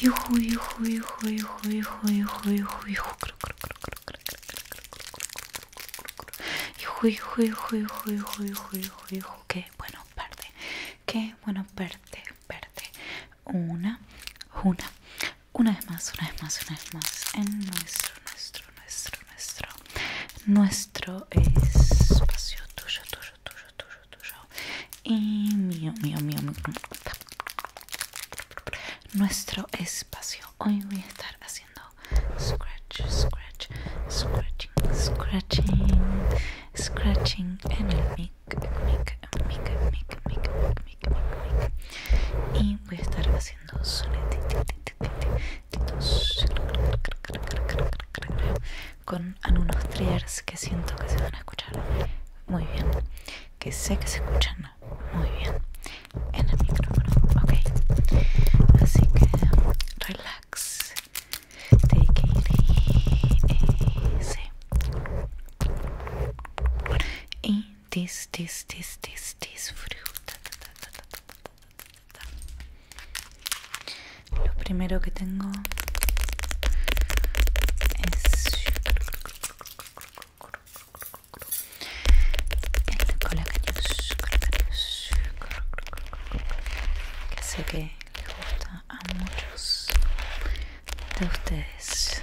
Hijo, hijo, hijo, hijo, hijo, hijo, hijo, hijo, hijo, hijo, hijo, hijo, hijo, hijo, hijo, hijo, qué bueno verde, qué bueno verde, verde, una, una, una vez más, una vez más, una vez más en nuestro, nuestro, nuestro, nuestro, nuestro espacio tuyo, tuyo, tuyo, tuyo, tuyo y mío, mío, mío, Nuestro espacio. Hoy voy a estar haciendo scratch, scratch, scratching, scratching, scratching en el mic, mic, mic, mic, mic, mic, mic, mic. Y voy a estar haciendo con algunos triggers que siento que se van a escuchar muy bien, que sé que se escuchan muy bien en el micrófono, ok. Así que relax, take it easy this, this, this, this, this fruit Lo primero que tengo es el de que sé que le gusta a muchos de ustedes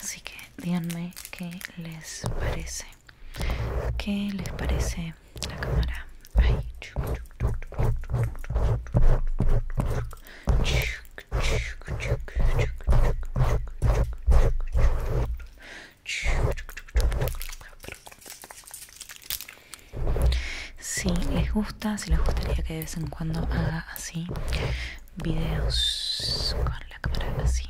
Así que díganme qué les parece. ¿Qué les parece la cámara? si les gusta, si les gustaría que de vez en cuando haga así videos con la cámara así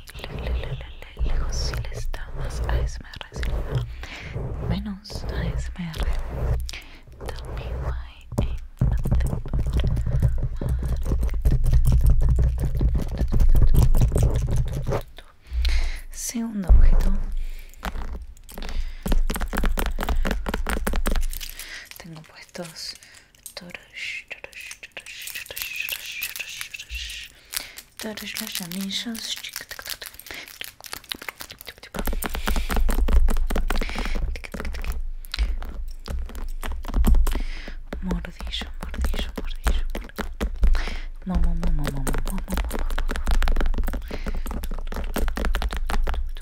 lejos si les da más ASMR si les da menos ASMR también segundo objeto puestos todos los anillos mordillo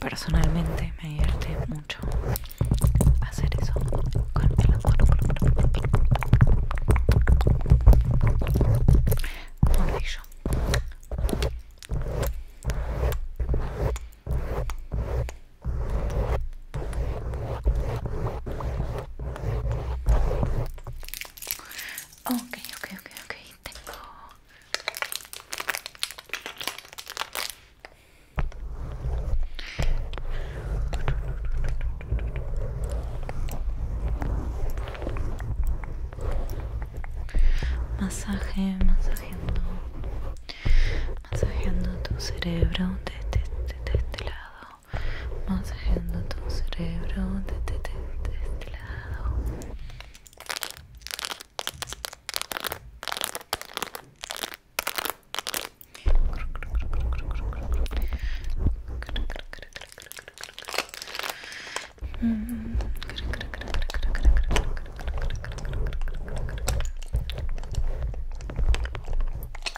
Personalmente me divierte mucho hacer eso con el Okay, okay, okay, okay, tengo... Masaje, masaje no masajeando tu cerebro desde este, de este lado, masajeando tu cerebro desde de este lado.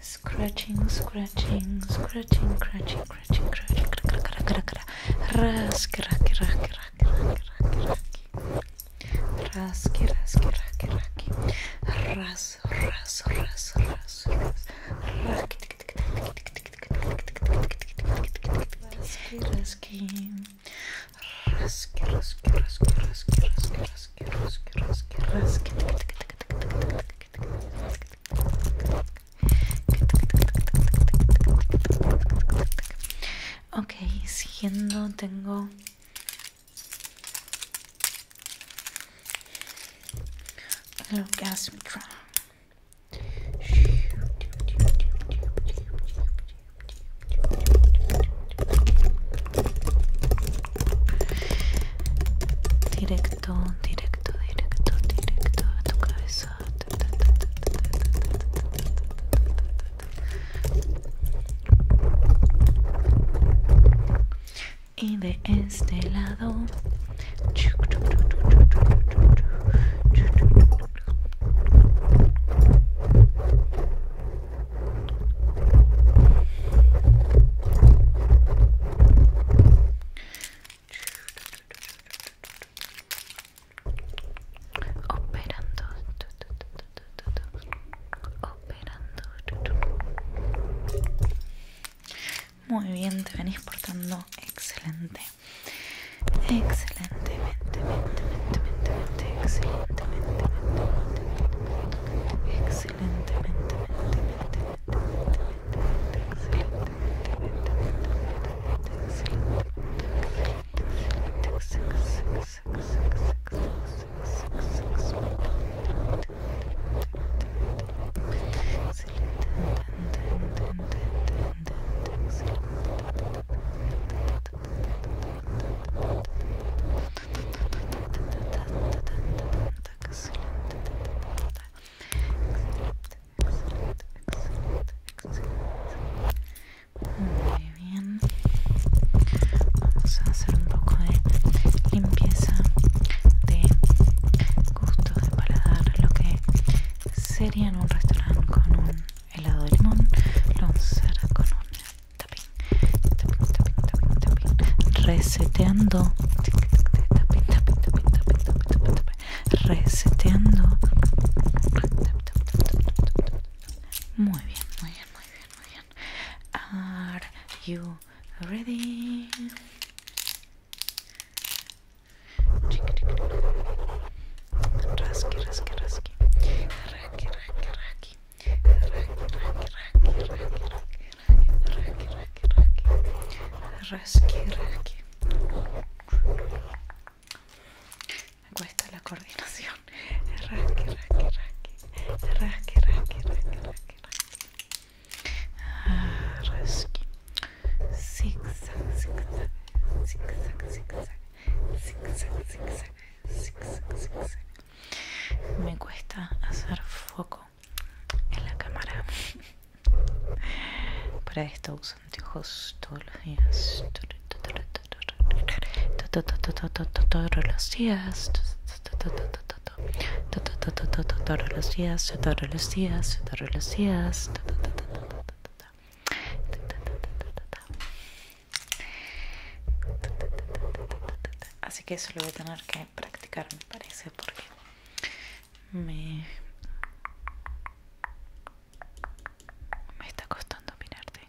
Scratching, scratching, scratching, scratching, scratching, scratching, rasky, rasky, rasky, rasky, rasky, rasky, rasky, rasky, rasky, ras, ras, ras, ras, ras, rasky, rasky, rasky. Okay, Ok, siguiendo tengo Directo, directo, directo, directo a tu cabeza. Y de este lado. Operando, operando. Muy bien, te venís portando excelente excelentemente, excelentemente, excelentemente, excelente excelente muy bien. Vamos a hacer un poco de limpieza de gusto de paladar, lo que sería en un restaurante con un helado de limón lo vamos con un tapping tapping tapín, tapping reseteando tapín, reseteando muy bien muy bien muy bien muy bien are you ready Rasqui, rasqui, rasqui. Rasqui, rasqui, rasqui. Rasqui, rasqui, rasqui, rasqui, rasqui, rasqui, rasqui. cuesta la coordinación. Rasqui, rasqui, rasqui. Rasqui, rasqui, rasqui, rasqui. Ah, me cuesta hacer foco en la cámara. Para esto uso anteojos todos los días. Todos los días. Todos los días. Todos los días. Todos los días. Así que eso lo voy a tener que practicar, me parece, porque me, está costando mirarte.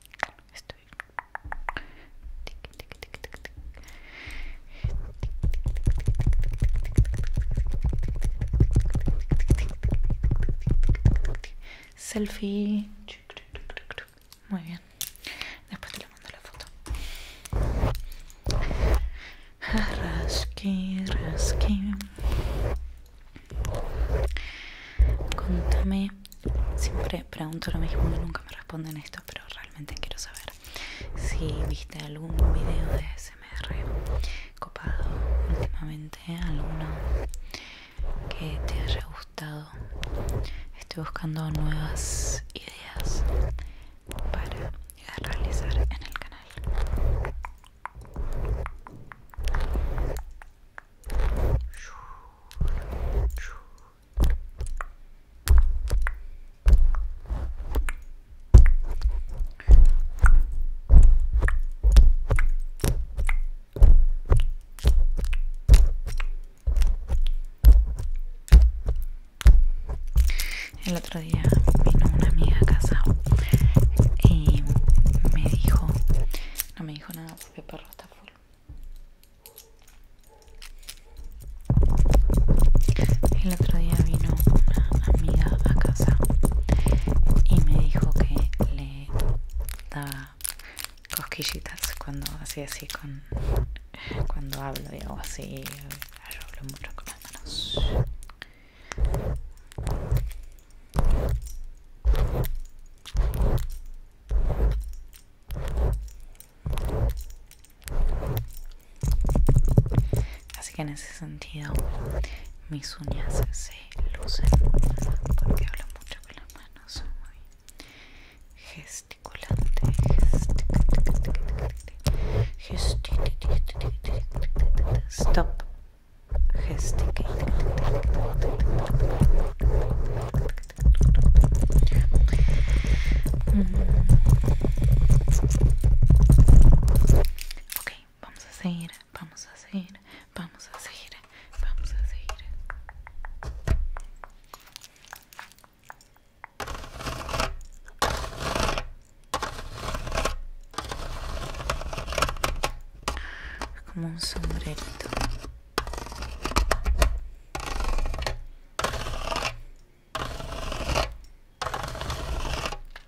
Selfie. Muy bien. Después te lo mando la foto. Rasquín, rasquín. Contame. Siempre pregunto lo mismo y nunca me responden esto, pero realmente quiero saber si viste algún video de SMR copado últimamente alguna que te haya gustado. Estoy buscando nuevas ideas para realizar en el canal. El otro día vino una amiga a casa y me dijo, no me dijo nada porque el perro está full. El otro día vino una amiga a casa y me dijo que le da cosquillitas cuando así así con cuando hablo digo así hablo mucho con las manos así que en ese sentido mis uñas se lucen porque hablo mucho con las manos gesticulante gesticulante stop gesticulante mm. vamos a seguir vamos a seguir, vamos a seguir, vamos a seguir. Como un sombrerito.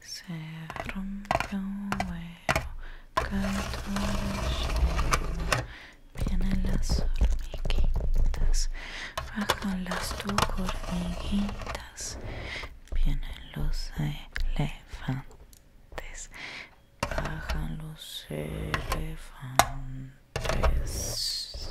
se rompe un huevo, la vienen las hormiguitas, bajan las tu hormiguitas, vienen los elefantes, bajan los elefantes.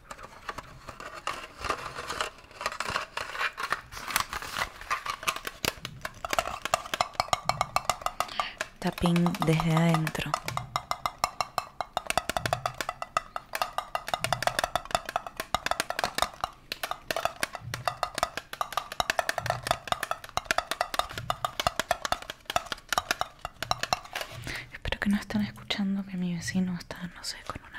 tapín desde adentro. Espero que no están escuchando que mi vecino está, no sé, con una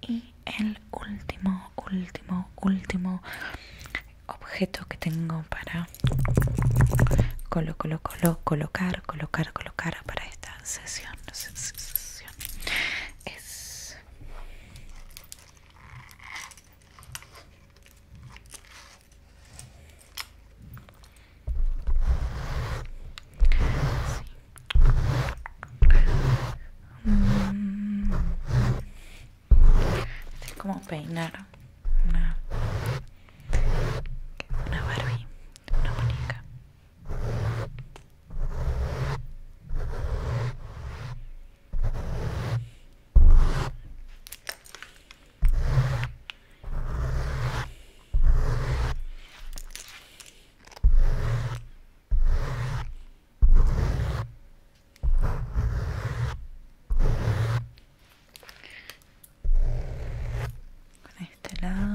y el último último último objeto que tengo para colo, colocar colocar colocar para esta sesión, sesión es Mm. Es como peinar una, una Barbie, una con este lado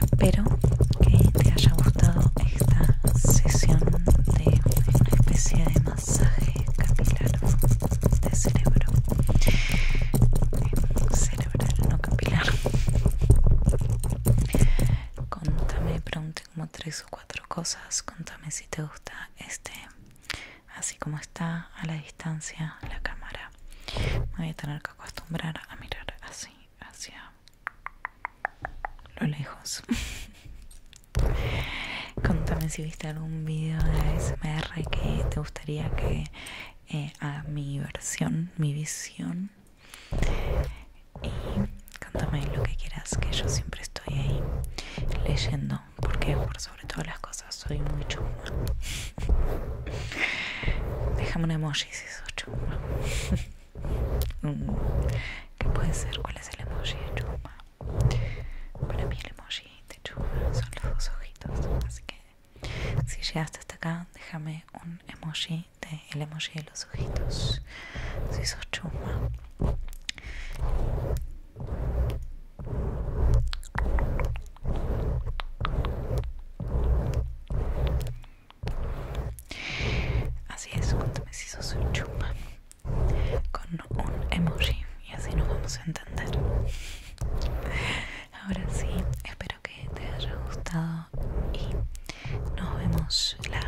Espero que te haya gustado esta sesión de una especie de masaje capilar de cerebro. Eh, cerebral, no capilar. Contame, pregunte como tres o cuatro cosas. Contame si te gusta este así como está a la distancia la cámara me voy a tener que acostumbrar a mirar así hacia lo lejos contame si viste algún video de ASMR que te gustaría que eh, a mi versión mi visión y contame lo que quieras que yo siempre estoy ahí leyendo porque por sobre todas las cosas soy muy chuma. Déjame un emoji si sos chuma. Mm. ¿Qué puede ser? ¿Cuál es el emoji de chuma? Para mí el emoji de chuma son los dos ojitos, así que si llegaste hasta acá, déjame un emoji de el emoji de los ojitos. Si sos chuma. Así es, cuéntame si sos un chupa con un emoji y así nos vamos a entender. Ahora sí, espero que te haya gustado y nos vemos la,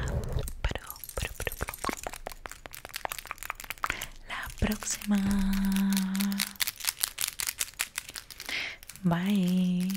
pero, la próxima. Bye.